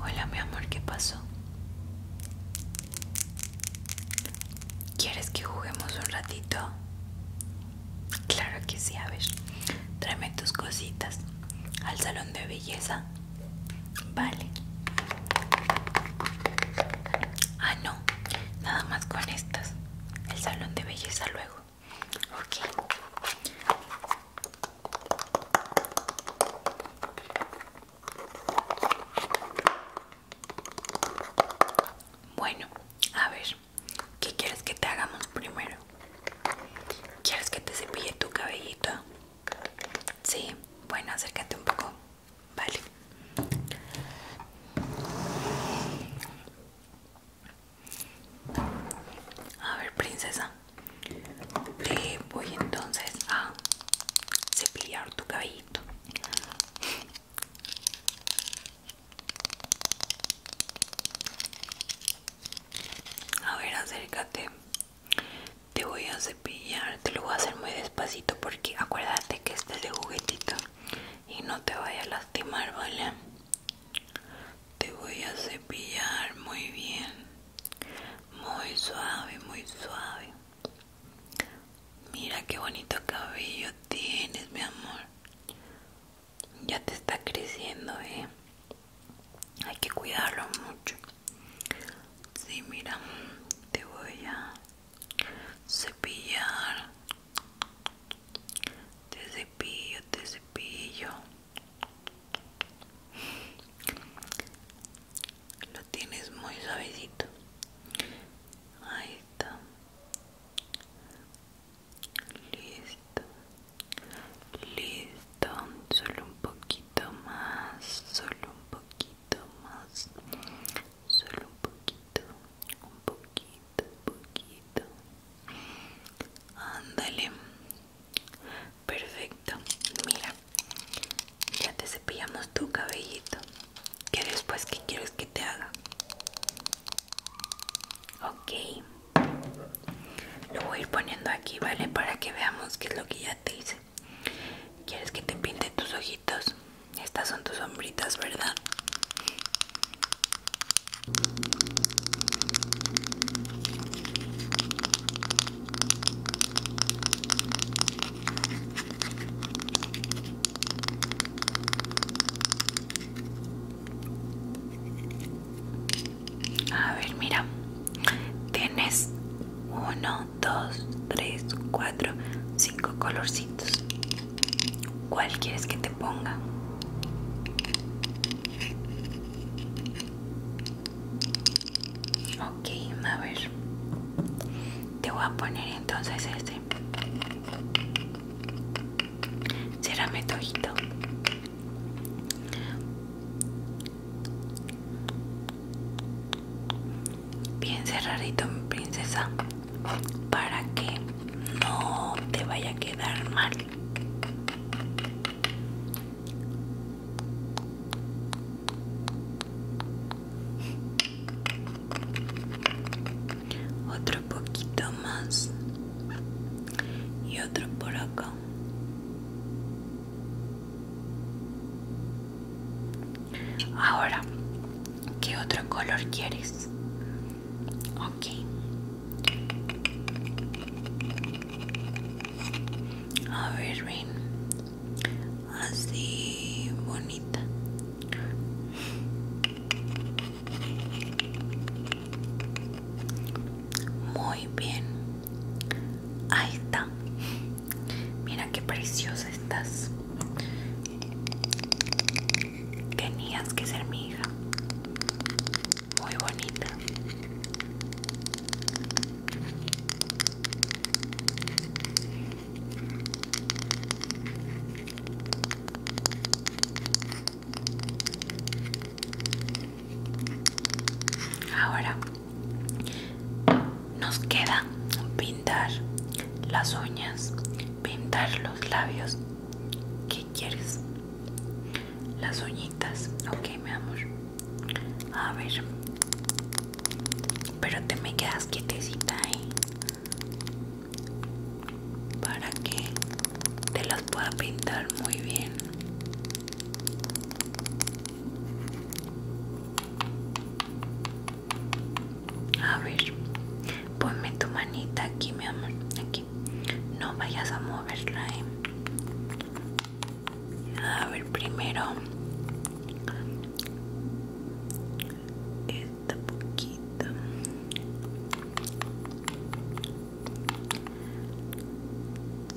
Hola mi amor, ¿qué pasó? ¿Quieres que juguemos un ratito? Claro que sí, a ver. Tráeme tus cositas al salón de belleza. Vale. Ah, no. Nada más con estas. El salón de belleza luego. Ok. Bueno, a ver, ¿qué quieres que te hagamos primero? ¿Quieres que te cepille tu cabellito? Sí, bueno, acércate un poco. Vale. A ver, princesa. Le eh, voy entonces a cepillar tu cabellito. A ver, acércate. Te voy a cepillar. Te lo voy a hacer muy despacito porque acuérdate que este es de juguetito y no te vaya a lastimar, ¿vale? Te voy a cepillar muy bien, muy suave, muy suave. Mira qué bonito cabello tienes, mi amor. Ya te está creciendo, ¿eh? Hay que cuidarlo mucho. Sí, mira, te voy a cepillar te cepillo, te cepillo. Lo tienes muy suavecito. Ahí está. Listo. Listo. Solo un poquito más. Solo un poquito más. Solo un poquito. Un poquito poquito ándale perfecto mira ya te cepillamos tu cabellito que después que quieres que te haga ok lo voy a ir poniendo aquí vale para que veamos qué es lo que ya te hice quieres que te pinte tus ojitos estas son tus sombritas verdad a ver, mira, tienes uno, dos, tres, cuatro, cinco colorcitos. ¿Cuál quieres que te ponga? Ok, a ver. Te voy a poner entonces este. Será Bien cerradito, mi princesa para que no te vaya a quedar mal otro poquito más y otro por acá ahora qué otro color quieres ok a ver ven así bonita muy bien ahí está mira qué preciosa estás tenías que ser mi hija. Muy bonita. Ahora nos queda pintar las uñas, pintar los labios ¿Qué quieres? Las uñitas, ok mi amor. A ver. Pero te me quedas quietecita ahí. Para que te las pueda pintar muy bien. A ver, ponme tu manita aquí, mi amor. Aquí. No vayas a moverla, ¿eh? A ver, primero esta poquita.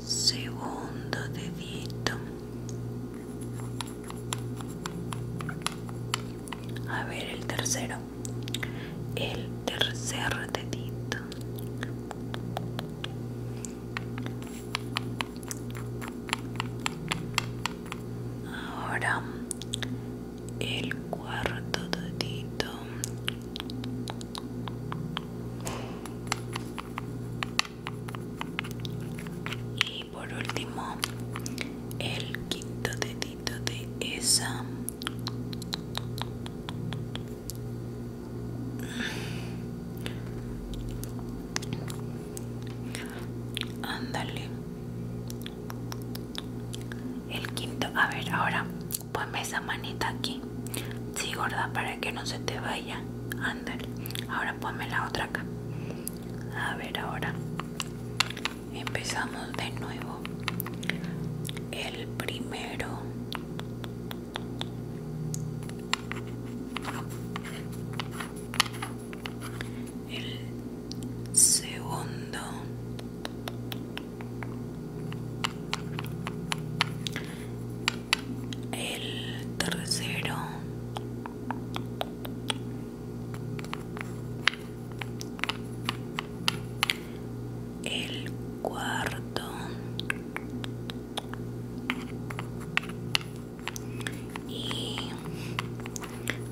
Segundo dedito. A ver el tercero el tercer dedito ahora el cuarto dedito y y por último el quinto dedito de esa ándale el quinto a ver ahora ponme esa manita aquí sí gorda para que no se te vaya ándale ahora ponme la otra acá a ver ahora empezamos de nuevo el primero el segundo el tercero el cuarto y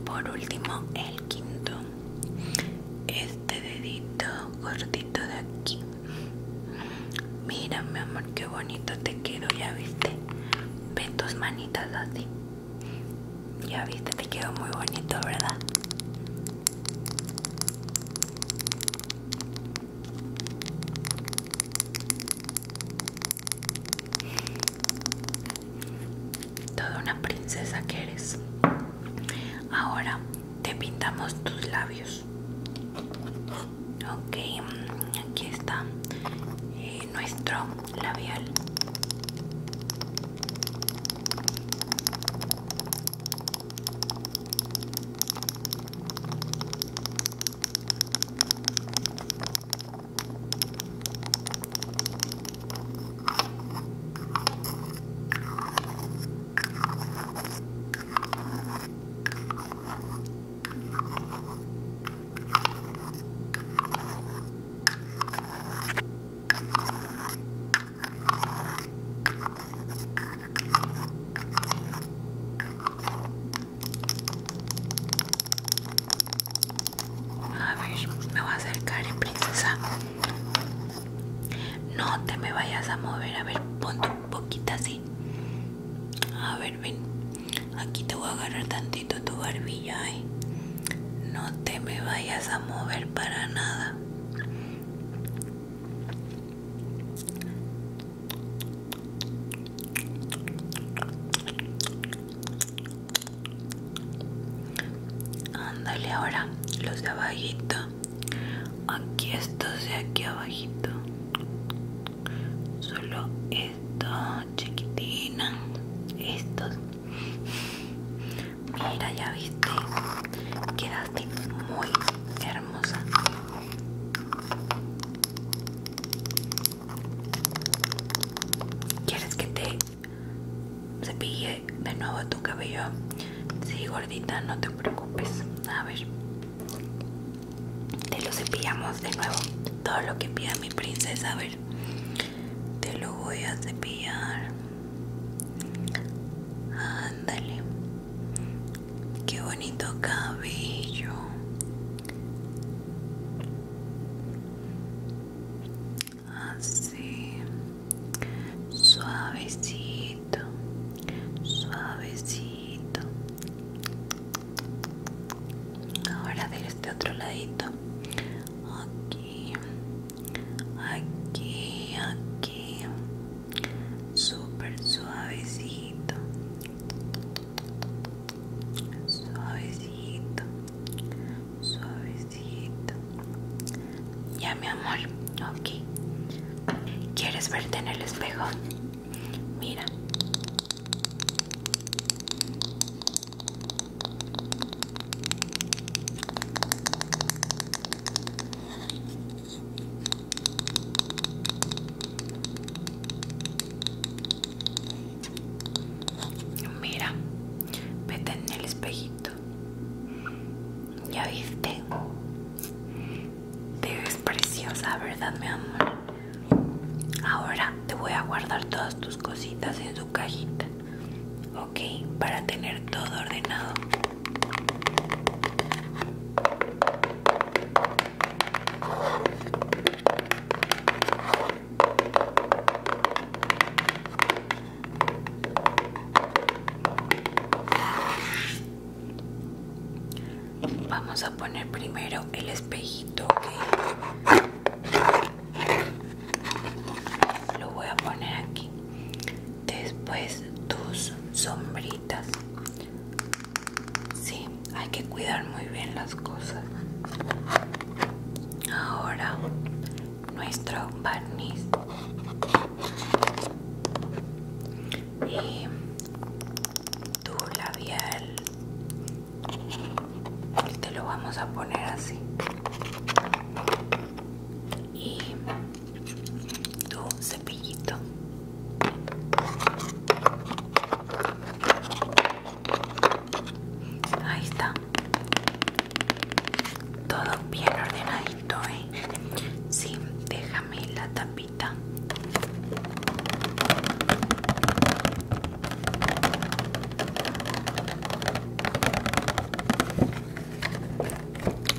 por último el quinto este dedito cortito de aquí mira mi amor qué bonito te quedo ya viste ve tus manitas así ya viste, te quedó muy bonito, ¿verdad? Toda una princesa que eres. Ahora te pintamos tus labios. Ok, mm, aquí está eh, nuestro labial a ver, me voy a acercar, en princesa. No te me vayas a mover. A ver, ponte un poquito así. A ver, Aquí te voy a agarrar tantito tu barbilla, ¿eh? No te me vayas a mover para nada. Ándale ahora, los de abajito. Aquí estos de aquí abajito solo esto chiquitina estos mira ya viste quedaste muy hermosa quieres que te cepille de nuevo tu cabello sí gordita no te preocupes a ver te lo cepillamos de nuevo todo lo que pida mi princesa a ver te lo voy a cepillar ándale qué bonito cabello así suavecito suavecito ahora de este otro ladito aquí aquí aquí súper suavecito suavecito suavecito ya mi amor aquí. quieres verte en el espejo mira Mira, vete en el espejito. ¿Ya viste? Te ves preciosa, ¿verdad, mi amor? Ahora te voy a guardar todas tus cositas en su cajita, ¿ok? Para tener todo ordenado vamos a poner primero el espejito lo voy a poner aquí después tus sombritas sí hay que cuidar muy bien las cosas ahora nuestro barniz y tu labial te lo vamos a poner así y tu cepillito ahí está todo bien ordenadito ¿eh? sí déjame la tapita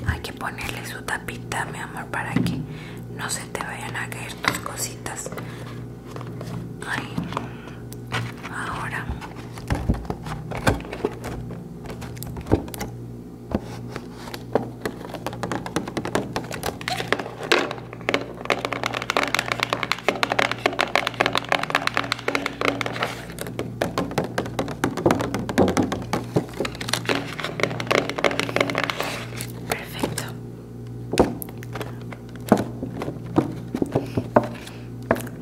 hay que ponerle su tapita mi amor para que no se te vayan a caer tus cositas ahora Perfecto.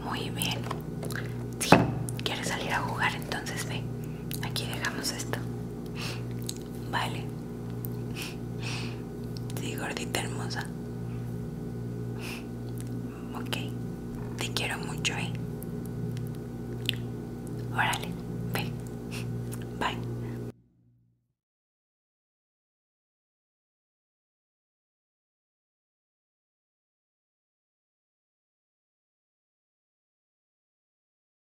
Muy bien. si, ¿quieres salir a jugar? Entonces ve. Aquí dejamos esto. Vale. Sí, gordita hermosa. Ok. Te quiero mucho, ¿eh? Órale, bye Bye.